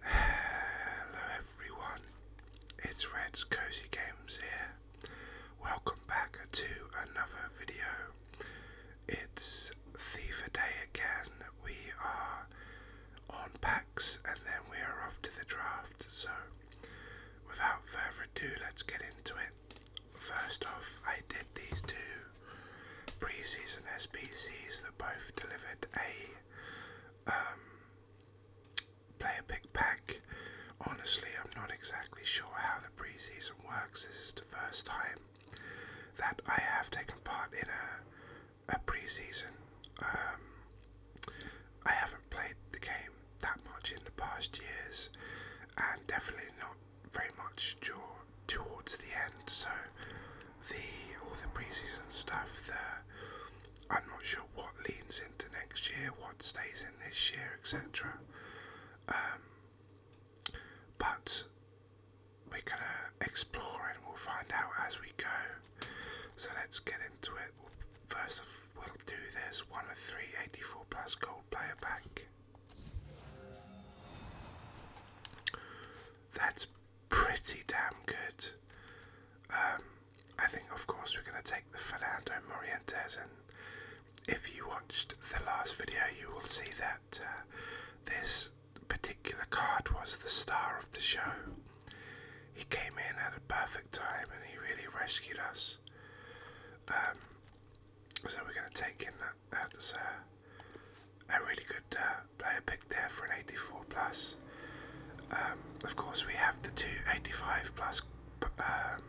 Hello everyone, it's Red's Cozy Games here. Welcome back to another video. It's Thiever Day again. We are on packs and then we are off to the draft. So, without further ado, let's get into it. First off, I did these two Pre-season SPCs that both delivered a um, player pick pack. Honestly, I'm not exactly sure how the pre-season works. This is the first time that I have taken part in a, pre-season. Um, I haven't played the game that much in the past years, and definitely not very much towards the end. So the all the preseason stuff that I'm not sure what leans into next year, what stays in this year, etc. Um, but we're gonna explore and we'll find out as we go. So let's get into it. First, of, we'll do this one of three plus gold player pack. That's pretty damn good. Um, I think, of course, we're going to take the Fernando Morientes, and if you watched the last video, you will see that uh, this particular card was the star of the show. He came in at a perfect time and he really rescued us. Um, so we're going to take in that that a, really good uh, player pick there for an 84 plus. Um, of course, we have the two 85 um,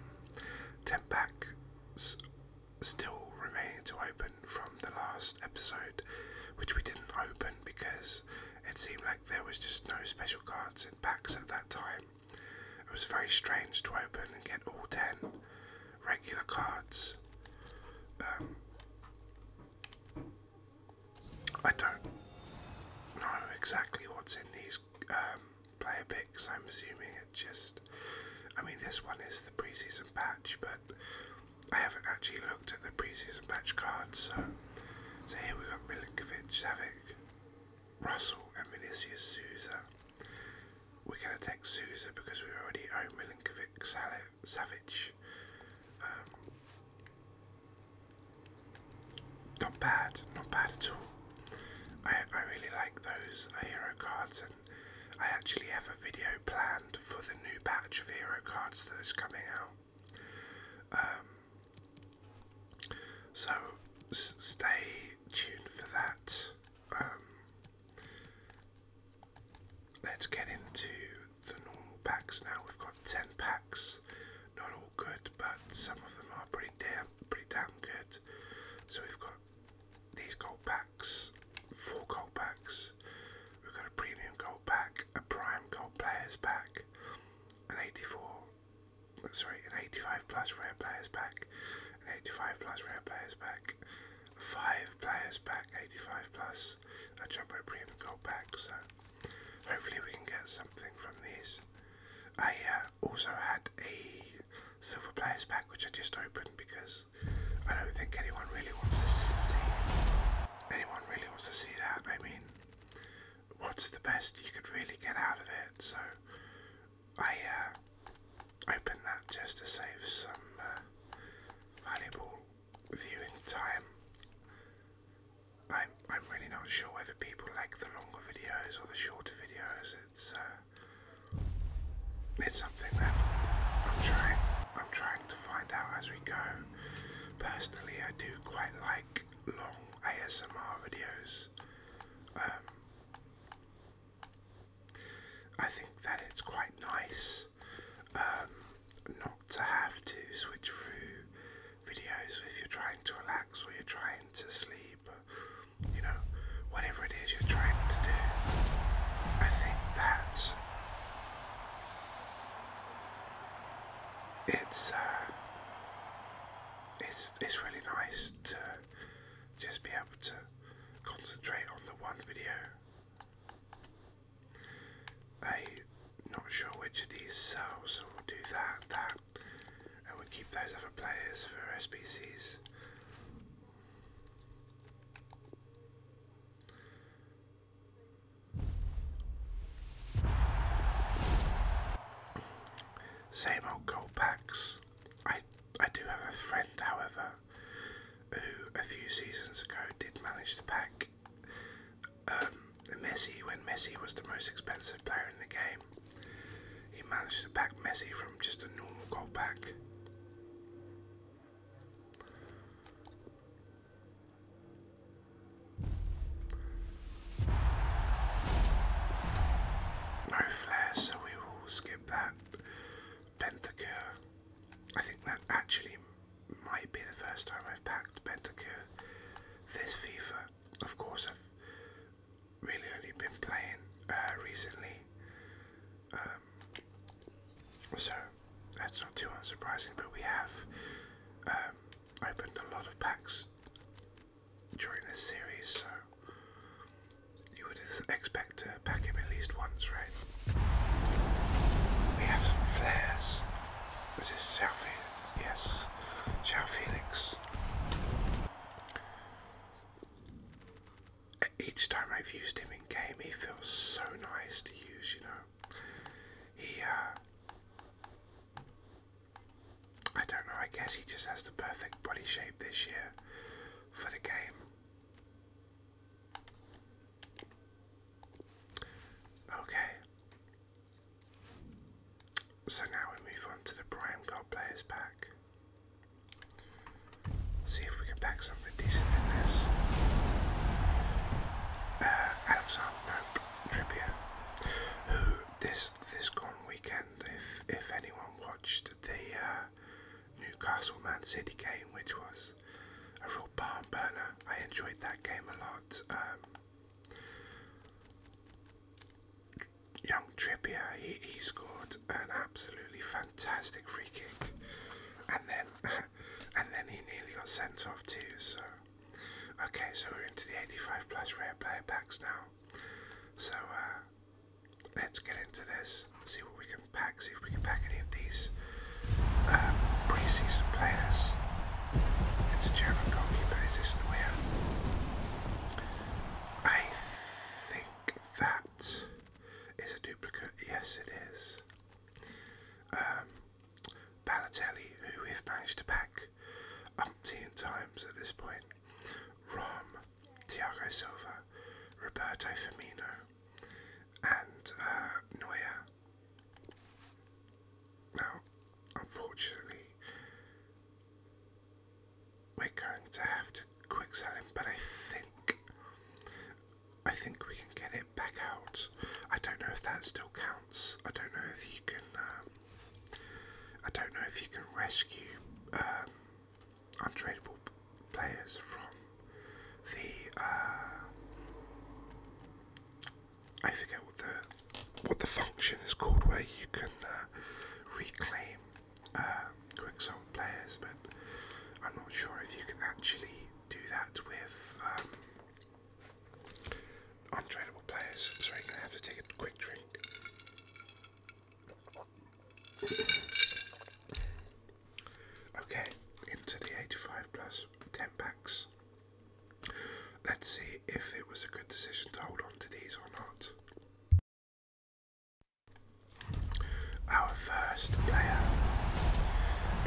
10 packs still remaining to open from the last episode, which we didn't open because it seemed like there was just no special cards in packs at that time. It was very strange to open and get all 10 regular cards. Um, I don't know exactly what's in these um, player picks. I'm assuming it just. I mean, this one is the preseason patch, but I haven't actually looked at the preseason patch cards. So, so here we have got Milinkovic, Savic, Russell, and Vinicius Souza. We're going to take Souza because we already own Milinkovic, Salah, Savage. Um, not bad, not bad at all. I, I really like those uh, hero cards, and I actually have a video planned for the new batch of hero cards that is coming out. Um, so stay tuned for that. Um, Let's get into the normal packs now. We've got 10 packs. Not all good, but some of them are pretty damn, pretty damn good. So we've got these gold packs, four gold packs. We've got a premium gold pack, a prime gold players pack, an 84, sorry, an 85 plus rare players pack, an 85 plus rare players pack, five players back, 85 plus a jumbo premium gold pack. So hopefully we can get something from these. I uh, also had a silver players pack which I just opened because I don't think anyone really wants to see anyone really wants to see that. I mean, what's the best you could really get out of it? So I uh, opened that just to save some uh, valuable viewing time. I'm I'm really not sure whether people like the longer videos or the shorter videos. It's uh, it's something that I'm trying I'm trying to find out as we go. Personally, I do quite like long ASMR videos. Um, I think that it's quite nice um, not to have to switch through videos if you're trying to relax or you're trying to sleep, you know, whatever it is you're trying to do. I think that it's uh, it's it's really nice to just be able to concentrate on the one video I'm not sure which of these cells will do that, that, and we'll keep those other players for SPCs. Same old gold packs. I I do have a friend, however, who a few seasons ago did manage to pack um, Messi when Messi was the most expensive player in the game. He managed to pack Messi from just a normal goal back. No flares, so we will skip that. Pentacure. I think that actually might be the first time I've packed Pentacore this FIFA. Of course, I've really only been playing uh, recently, um, so that's not too unsurprising. But we have um, opened a lot of packs during this series, so you would expect to pack him at least once, right? We have some flares. This is Sal Yes, Sal Felix. Each time I've used him in game, he feels so nice to use, you know. He, uh, I don't know, I guess he just has the perfect body shape this year for the game. Okay. So now we move on to the Prime God players pack. See if we can pack something decent in this. Uh, Alexander Nope, Trippier. Who this this gone weekend, if if anyone watched the uh, Newcastle Man City game, which was a real barn burner. I enjoyed that game a lot. Um, young Trippier, he, he scored an absolutely fantastic free kick, and then and then he nearly got sent off too. So okay, so we're into the 85 plus rare player packs now. So uh, let's get into this. See what we can pack. See if we can pack any of these um, pre-season players. It's a German goalkeeper, is this Neuer? I think that is a duplicate. Yes, it is. Um, Balotelli, who we've managed to pack umpteen times at this point. Rom, Thiago Silva, Roberto Firmino, and uh, Neuer. Now, unfortunately, we're going to have to quick sell him, but I think I think we can get it back out. I don't know if that still counts. I don't know if you can. Um, I don't know if you can rescue um, untradeable players from the uh, I forget what the what the function is called where you can uh, reclaim uh, Quicksalt players, but I'm not sure if you can actually do that with um, untradeable players. Sorry, I'm gonna have to take a quick drink. Okay, into the 85 plus 10 packs. Let's see if it was a good decision to hold on to these or not. Our first player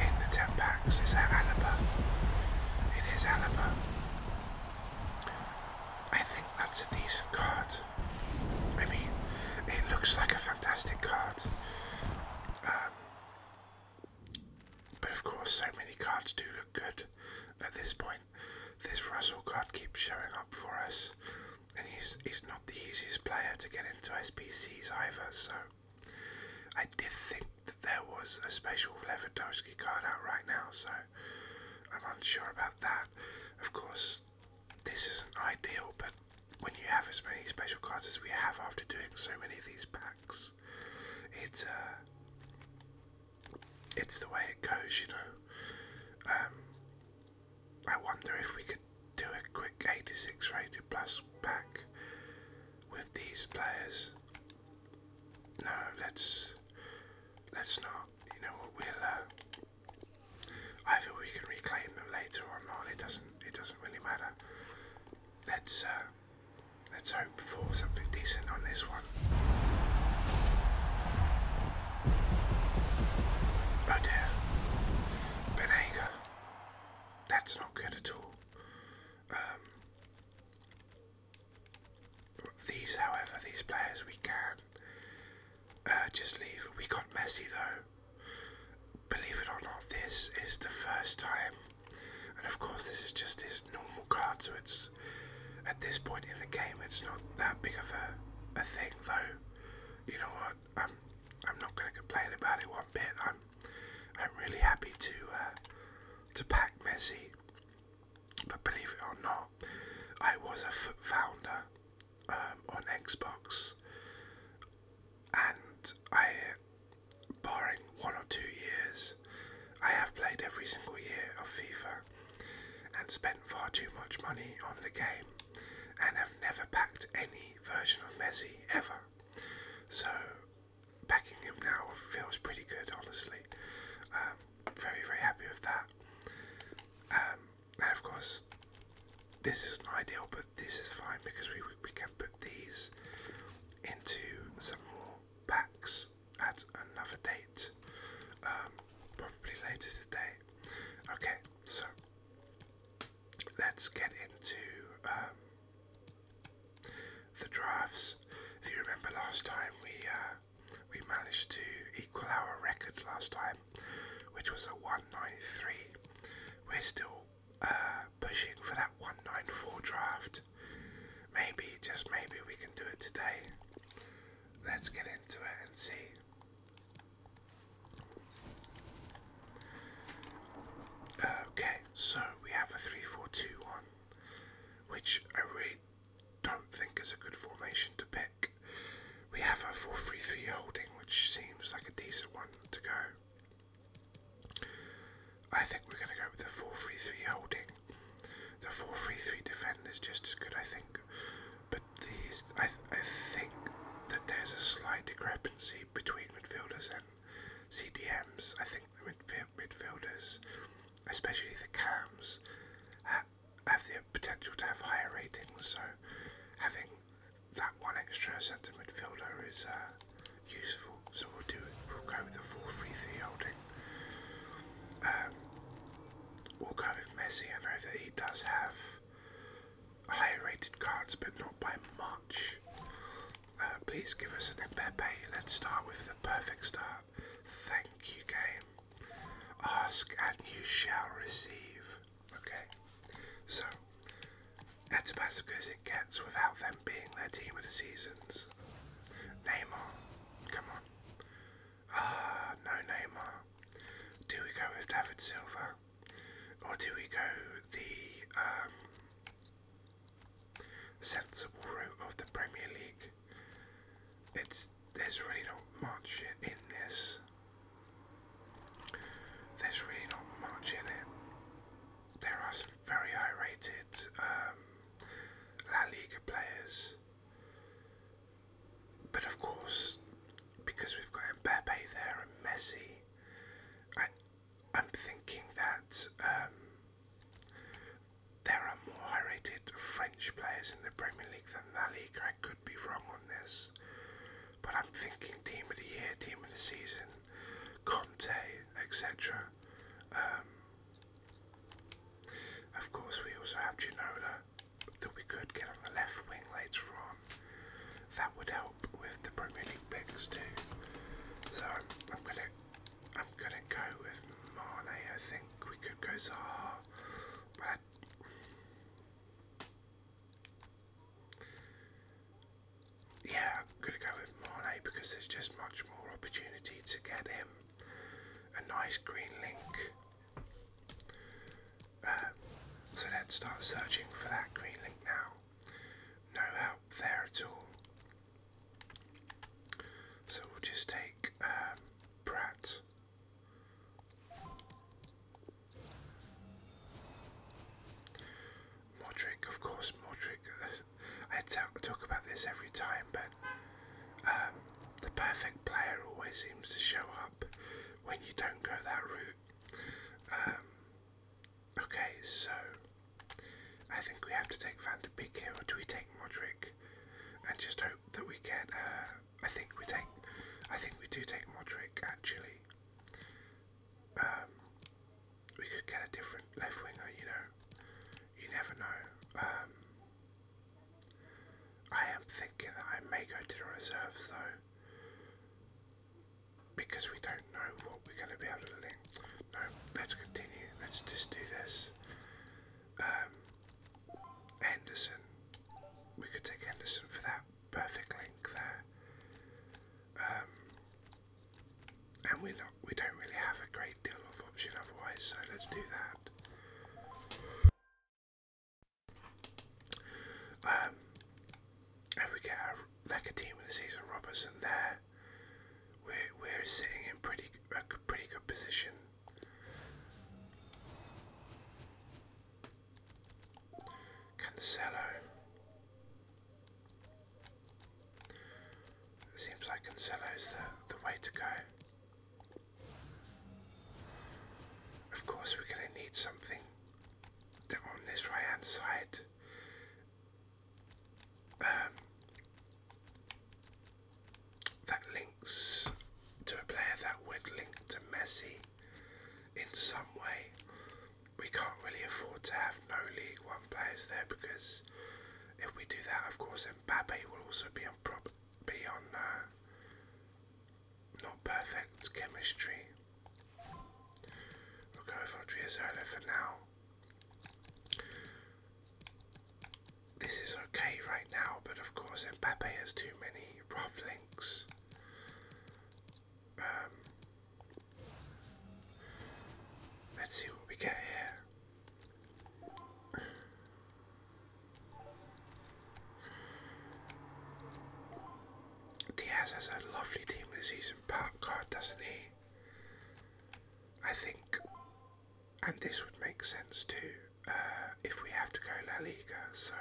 in the 10 packs is Alaba. It is Alaba. I think that's a decent card. I mean, it looks like a fantastic card. Um, but of course, so many cards do look good at this point. This Russell card keeps showing up for us, and he's, he's not the easiest player to get into SPCs either, so I did think that there was a special Lewandowski card out right now, so I'm unsure about that. Of course, this isn't ideal, but when you have as many special cards as we have after doing so many of these packs, it's uh, it's the way it goes, you know. Um, I wonder if we could do a quick 86 rated plus pack with these players. No, let's let's not. You know what? We'll uh, either we can reclaim them later or not. It doesn't. It doesn't really matter. Let's. Uh, Let's hope for something decent on this one. Oh Benega. That's not good at all. Um, these, however, these players we can uh, just leave. We got Messi though. Believe it or not, this is the first time and of course, this is just his normal card, so it's at this point in the game, it's not that big of a, a thing, though. You know what? I'm I'm not going to complain about it one bit. I'm I'm really happy to uh, to pack Messi, but believe it or not, I was a foot founder um, on Xbox, and I barring one or two years, I have played every single year of FIFA and spent far too much money on the game and have never backed any version of Messi ever. So backing him now feels pretty good, honestly. Um, very, very happy with that. Um, and of course, this isn't ideal, but this is fine because we, we can put these into some more packs at another date, um, probably later today. Okay, so let's get into um, the drafts. If you remember last time, we uh, we managed to equal our record last time, which was a 193. We're still pushing for that 194 draft. Maybe, just maybe, we can do it today. Let's get into it and see. Okay, so we have a 3 4 2 1, which I really don't think is a good formation to pick. We have a 4 3 3 holding, which seems like a decent one to go. I think we're going to go with the 4-3-3 holding. The 4-3-3 defend is just as good, I think. But these, I, I think that there's a slight discrepancy between midfielders and CDMs. I think the midf midfielders, especially the CAMs, have the potential to have higher ratings. So having that one extra centre midfielder is uh, useful, so we'll do We'll go with the 4-3-3 holding. Um, we'll go with Messi. I know that he does have high rated cards, but not by much. Uh, please give us an Mbappe. Let's start with the perfect start. Thank you, game. Ask and you shall receive. Okay, so that's about as good as it gets without them being their team of the seasons. Neymar, come on. Ah, no Neymar. Do we go with David Silva? Or do we go the um, sensible route of the Premier League? It's there's really not much in this. There's really not much in it there are some very high rated um, La Liga players. But of course, because we've got Mbappe there and Messi, I, am thinking that um, there are more high rated French players in the Premier League than La Liga. I could be wrong on this, but I'm thinking team of the year, team of the season. Conte, etc. Um, of course, we also have Ginola that we could get on the left wing later on. That would help with the Premier League picks too. So I'm, I'm gonna I'm gonna go with Mane. I think we could go Zaha, but I, yeah, I'm going to go with Mane because there's just much more opportunity to get him a nice green link. Um, so let's start searching for that green link now. No help there at all. So we'll just take um, Pratt. Modric, of course, Modric, uh, I talk about this every time, but um, the perfect player always seems to show up when you don't go that route. Um, okay, so I think we have to take Van der Beek here, or do we take Modric? And just hope that we get. Uh, I think we take. I think we do take Modric actually. Um, we could get a different left winger, you know. You never know. Um, I am thinking that I may go to the reserves though, because we don't know what we're going to be able to link. No, let's continue. Let's just do this. Um, Henderson. We could take Henderson for that perfect link there. Um, and we're not, we don't really have a great deal of option otherwise, so let's do that. Um, and we get like a team of the season, Robertson there. We're, sitting in pretty pretty good position. Cancelo. It seems like Cancelo's the, the way to go. Of course, we're going to need something that on this right hand side. Um, that links to a player that would link to Messi in some way. We can't really afford to have no League One players there because if we do that, of course, then Mbappe will also be on prop, be on uh, not perfect chemistry. We'll go for Adriazola for now. This is okay right now, but of course Mbappe has too many rough links. Um, let's see what we get here. Diaz has a lovely team with season card, doesn't he? I think, and this would make sense too, uh, if we have to go La Liga. So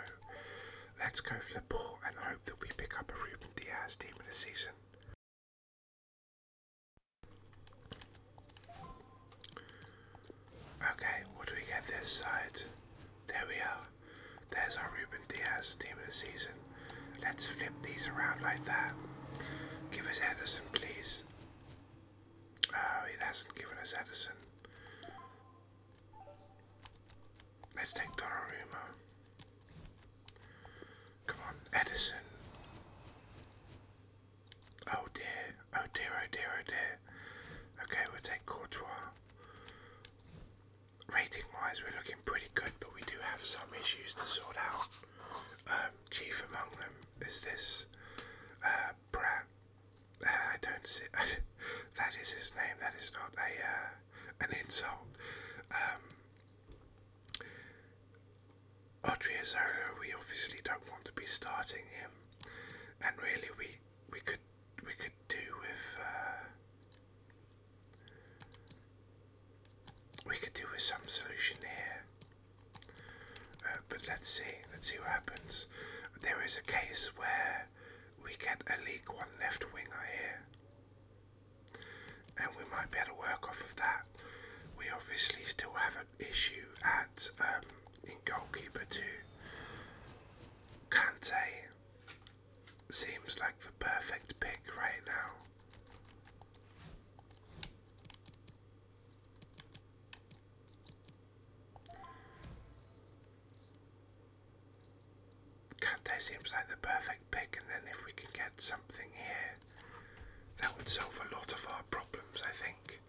let's go for the ball and hope that we pick up a Ruben Diaz team of the season. Okay, what do we get this side? There we are. There's our Ruben Diaz team of the season. Let's flip these around like that. Give us Edison, please. Oh, it hasn't given us Edison. Let's take Donnarumma. Come on, Edison. Oh dear, oh dear, oh dear, oh dear. Okay, we'll take Courtois. Rating wise, we're looking pretty good, but we do have some issues to sort out. Um, chief among them is this uh, Pratt. Uh, I don't see. that is his name. That is not a uh, an insult. Um, Odriozola, we obviously don't want to be starting him, and really we we could we could do with uh, we could do with some solution here. Uh, but let's see, let's see what happens. There is a case where we get a League One left winger here, and we might be able to work off of that. We obviously still have issue at um, in goalkeeper to Kante seems like the perfect pick right now. Kante seems like the perfect pick, and then if we can get something here that would solve a lot of our problems, I think.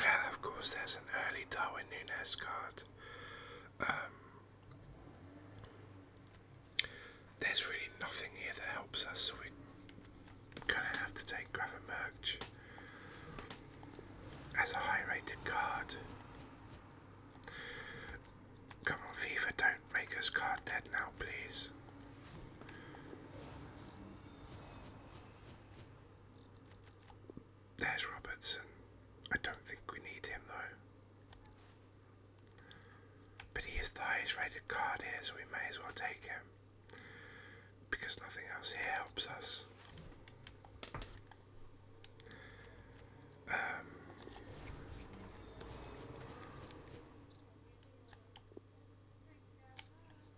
Yeah, of course, there's an early Darwin Nunes card. Um, there's really nothing here that helps us, so we're going to have to take Gravenberch as a high rated card. Come on, FIFA, don't make us card dead now, please. There's Robertson. I don't think we need him though. But he is the highest rated card here, so we may as well take him. Because nothing else here helps us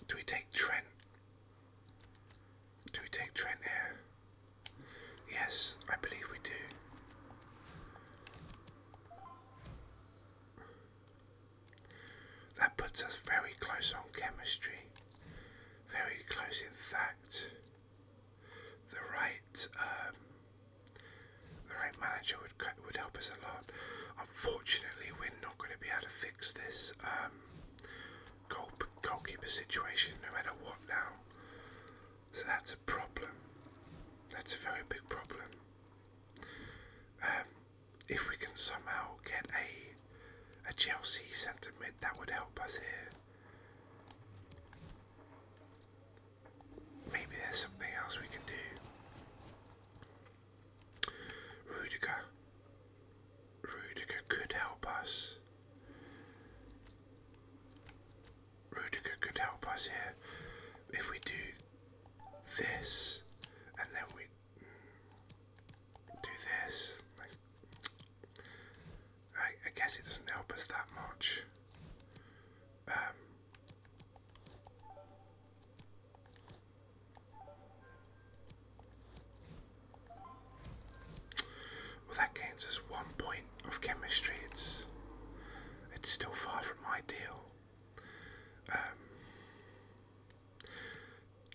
do we take Trent? Do we take Trent here? Yes, I believe we do. That puts us very close on chemistry. Very close, in fact the right um, the right manager would would help us a lot. Unfortunately, we're not going to be able to fix this um, goal, goalkeeper situation no matter what now. So that's a problem. That's a very big problem. Um, if we can somehow get a a Chelsea centre mid, that would help us here. Maybe there's something else we can do. Rudiger. Rudiger could help us. Rudiger could help us here if we do this and then we do this. I, guess it doesn't help us that much. Um, well, that gains us one point of chemistry. It's it's still far from ideal. Um,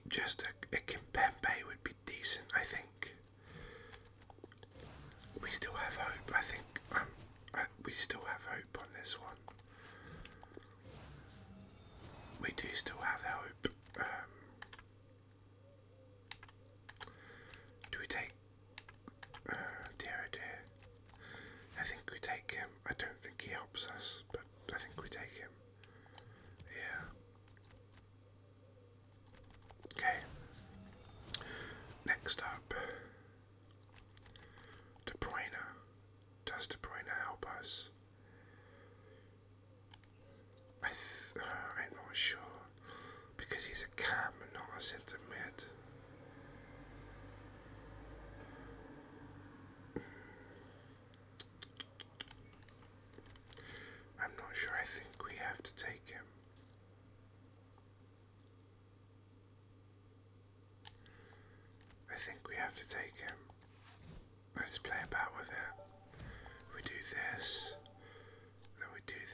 just a, a Kimpembe would be decent, I think. We still have hope. I think um, we still have hope on this one. We do still have hope. Um, do we take? Uh, dear, oh dear. I think we take him. I don't think he helps us, but I think we take him. Yeah. Okay. Next up, De Bruyne. Does De Bruyne help us? I uh, I'm not sure because he's a cam and not a sentiment. I'm not sure. I think we have to take him. I think we have to take him. Let's play about with it. We do this, then we do this.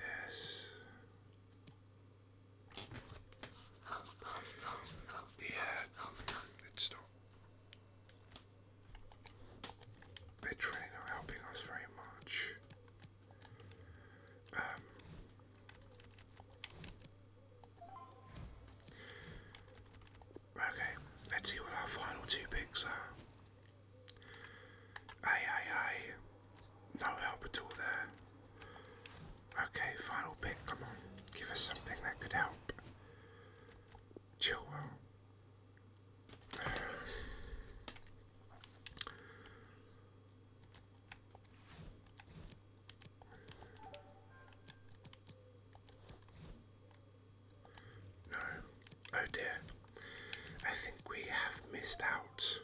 Yeah, it's not. They're really not helping us very much. Um, okay, let's see what our final two picks are. Aye, aye, aye. No help at all there. Okay, final pick, come on. Give us something that could help. Chillwell. No. Oh dear. I think we have missed out.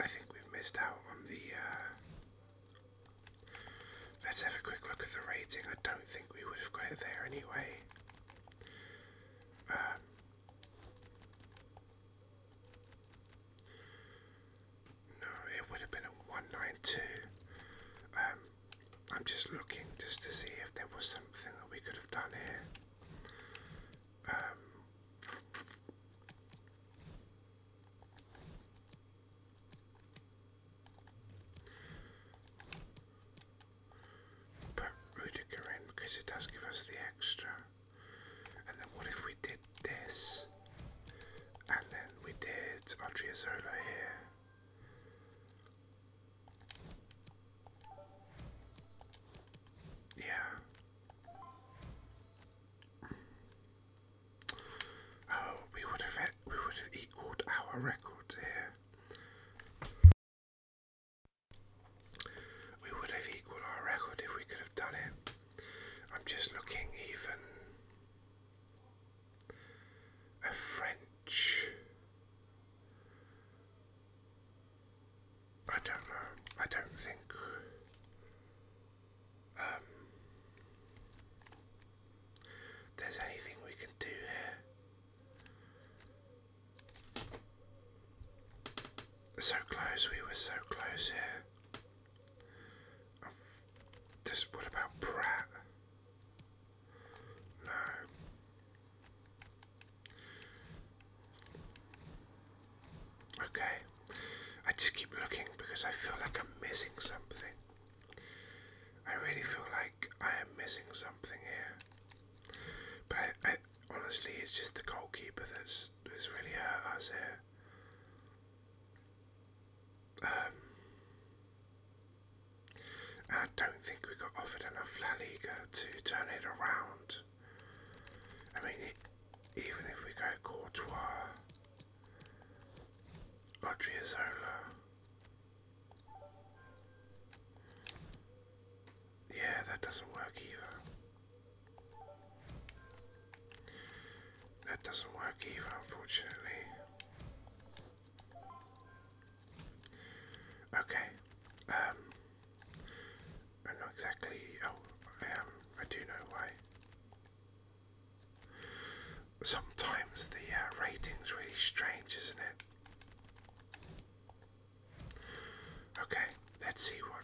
I think we've missed out on the. Uh, let's have a quick look at the rating. I don't think we would have got it there anyway. Um, no, it would have been a 192. Um, I'm just looking just to see if there was something that we could have done here. Um, put Rudiger in because it does give us the extra. And then what if we did this? And then we did Odriozola here. Yeah. Oh, we would have we would have equaled our record here. We would have equalled our record if we could have done it. I'm just looking even a French. I don't know. I don't think. Um, there's anything we can do here. So close, we were so close here. Oh, what about Pratt? No. Okay. I just keep looking because I feel like I'm missing something. I really feel like I am missing something here. But I, honestly, it's just the goalkeeper that's that's really hurt us here. Um, and I don't think we got offered enough La Liga to turn it around. I mean, even if we go Courtois, Odriozola, yeah, that doesn't work either. That doesn't work either, unfortunately. Okay. Um I'm not exactly oh I I do know why. Sometimes the uh, rating's really strange, isn't it? Okay, let's see what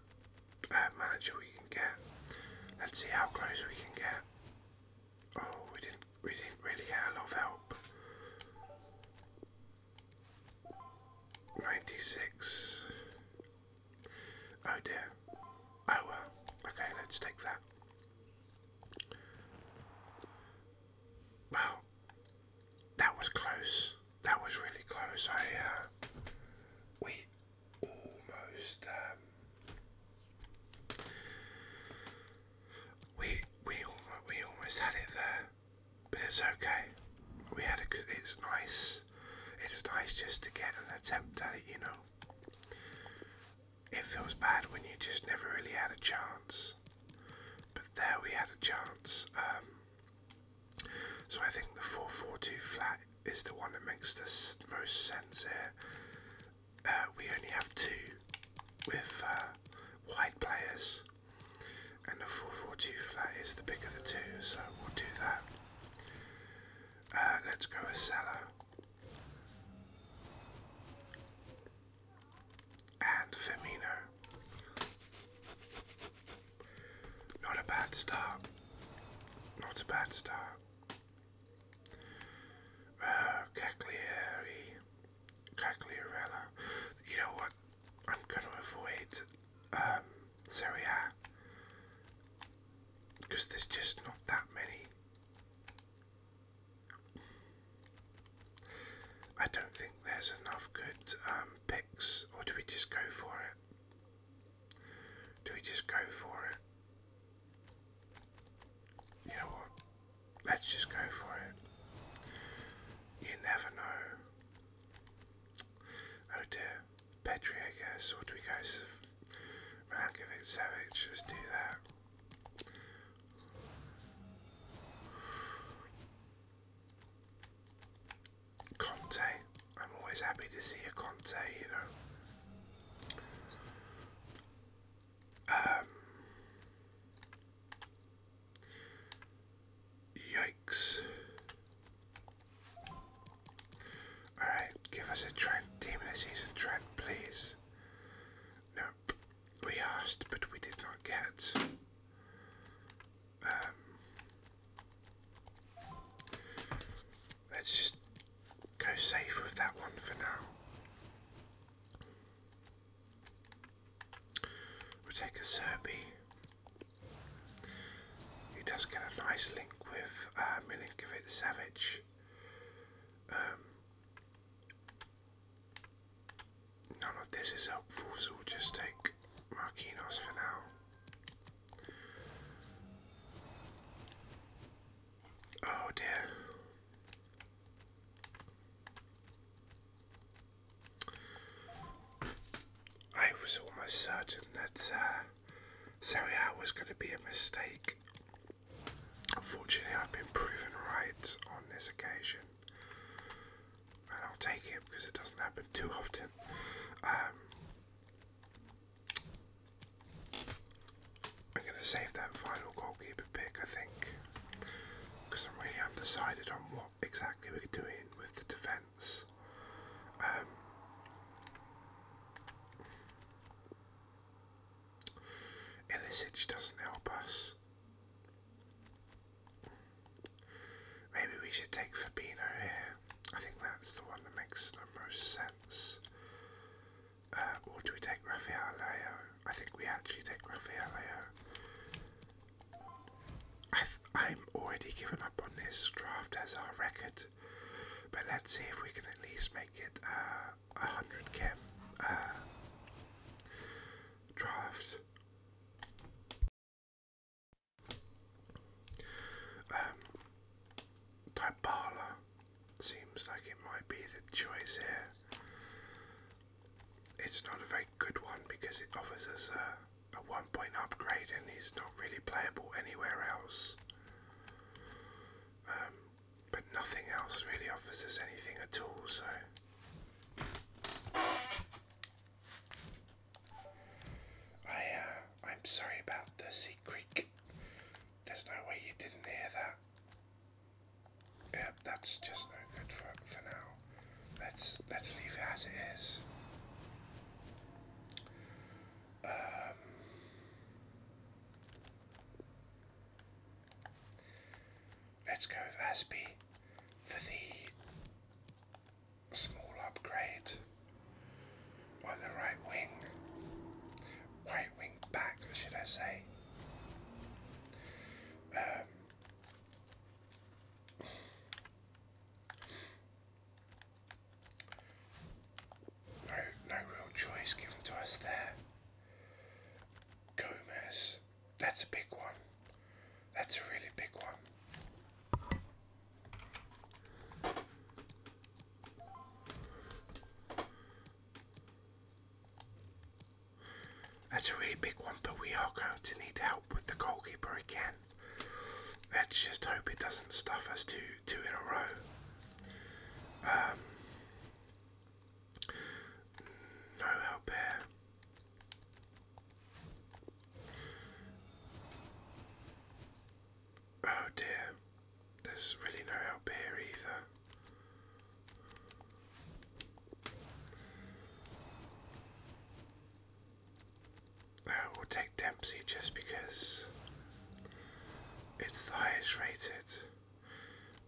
uh, manager we can get. Let's see how close we can get. Oh, we didn't we didn't really get a lot of help. 96. Oh dear. Oh Okay, let's take that. Well, that was close. That was really close. I uh, we almost um, we we almost we almost had it there, but it's okay. We had a. It's nice. It's nice just to get an attempt at it, you know. It feels bad when you just never really had a chance. But there we had a chance. Um, so I think the 442 flat is the one that makes the most sense here. Uh, we only have two with uh, white players, and the 442 flat is the bigger of the two, so we'll do that. Uh, let's go with Salah. And Firmino. Not a bad start. Not a bad start. Uh, Cagliari. Cagliarella. You know what? I'm going to avoid um, Because there's just not that many. I don't think there's enough good um, picks, or do we just go for it? Do we just go for it? You know what? Let's just go for it. You never know. Oh dear. Petri, I guess. Or do we go Milankovic Savic? Let's do that. Conte. I'm always happy to see a Conte, you know. Um, yikes. Alright, give us a trend, Team of the season trend, please. Nope. We asked, but we did not get. Um, Let's just go safe with that one for now. We'll take a Serbi. He does get a nice link with uh, Milinkovic Savage. Um, none of this is helpful, so we'll just take Marquinhos for now. Oh dear. I was almost certain that uh, was going to be a mistake. Unfortunately, I've been proven right on this occasion and I'll take him because it doesn't happen too often. Um, I'm going to save that final goalkeeper pick, I think, because I'm really undecided on what exactly we're doing with the defence. Um, doesn't help us. Maybe we should take Fabino here. I think that's the one that makes the most sense. Uh, or do we take Raphael I think we actually take Raphael I'm already given up on this draft as our record, but let's see if we can at least make it uh, a 100 chem uh, draft. Um, seems like it might be the choice here. It's not a very good one because it offers us a, one point upgrade and he's not really playable anywhere else. Um, but nothing else really offers us anything at all, so I uh, I'm sorry about the sea creek. There's no way you didn't hear that. Yeah, that's just no good for for now. Let's let's leave it as it is. Um, let's go with Aspy for the small upgrade on the right wing, right wing back, should I say? Um, no, no real choice given to us there. Gomez, that's a big one. That's a really big one. That's a really big one, but we are going to need help with the goalkeeper again. Let's just hope it doesn't stuff us two, two in a row. Um, no help here. Oh dear, there's really no help here either. Uh, we'll take Dempsey just because it's the highest rated.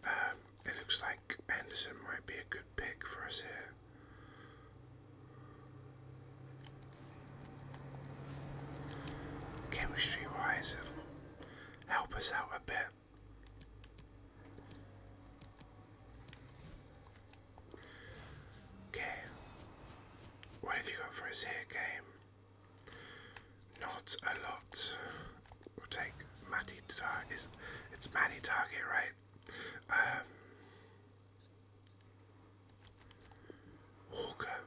Um, it looks like Anderson might be a good pick for us here. Chemistry wise, help us out a bit. Okay. What have you got for us here, game? Not a lot. We'll take Matty Target. It's Matty Target, right? Um, Walker.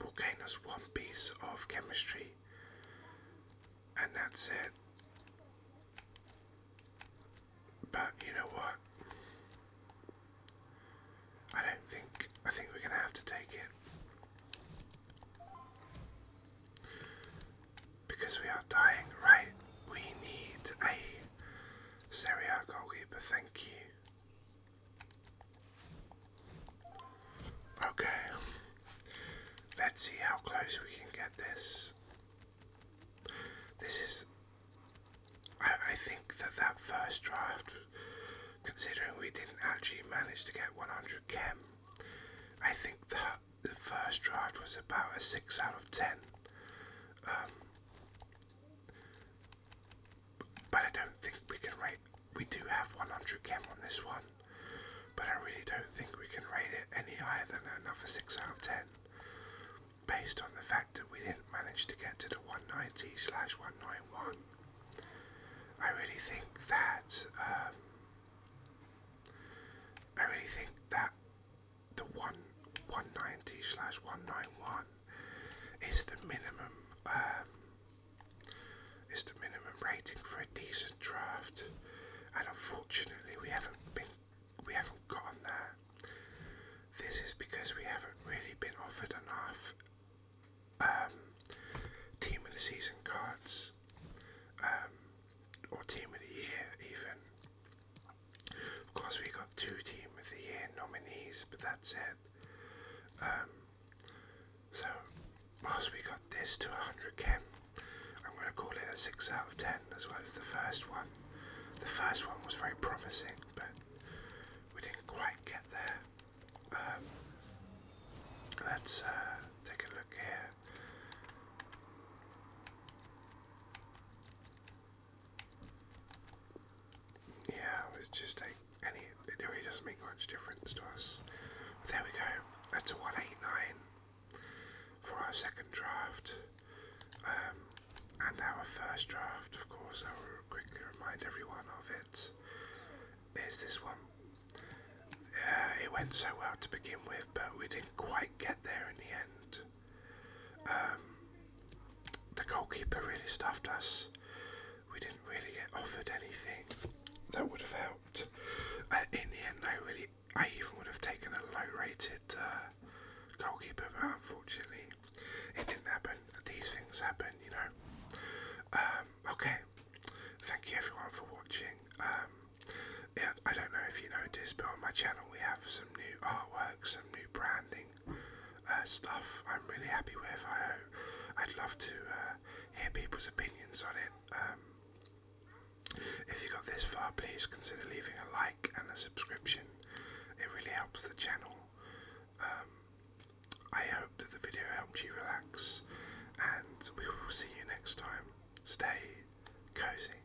Will gain us one piece of chemistry, and that's it. But you know what? I don't think. I think we're gonna have to take it. Because we are dying, right? We need a Serie goalkeeper, thank you. Okay, let's see how close we can get this. This is. I, I think that that first draft, considering we didn't actually manage to get 100 chem, I think that the first draft was about a 6 out of 10. Um, but I don't think we can rate. We do have 100chem on this one, but I really don't think we can rate it any higher than another 6 out of 10, based on the fact that we didn't manage to get to the 190 slash 191. I really think that. Um, I really think that the one 190 slash 191 is the minimum um, is the minimum rating for a decent draft and unfortunately we haven't been we haven't gotten there this is because we haven't really been offered enough um, team of the season cards um, or team of the year even of course, we got two Team of the Year nominees, but that's it. Um, so, whilst we got this to 100k, I'm going to call it a 6 out of 10 as well as the first one. The first one was very promising, but we didn't quite get there. Um, let's uh, take a look here. Yeah, it just like, and it, really doesn't make much difference to us. there we go. That's a 189 for our second draft. Um, and our first draft, of course, I will quickly remind everyone of it, is this one. Uh, it went so well to begin with, but we didn't quite get there in the end. Um, the goalkeeper really stuffed us. We didn't really get offered anything that would have helped. Uh, in the end, I really, I even would have taken a low-rated uh, goalkeeper, but unfortunately, it didn't happen. These things happen, you know. Um, okay, thank you everyone for watching. Um, yeah, I don't know if you noticed, but on my channel we have some new artwork, some new branding, uh, stuff I'm really happy with. I, would love to uh, hear people's opinions on it. Um, if you got this far, please consider leaving a like and a subscription. It really helps the channel. Um, I hope that the video helped you relax, and we will see you next time. Stay cozy.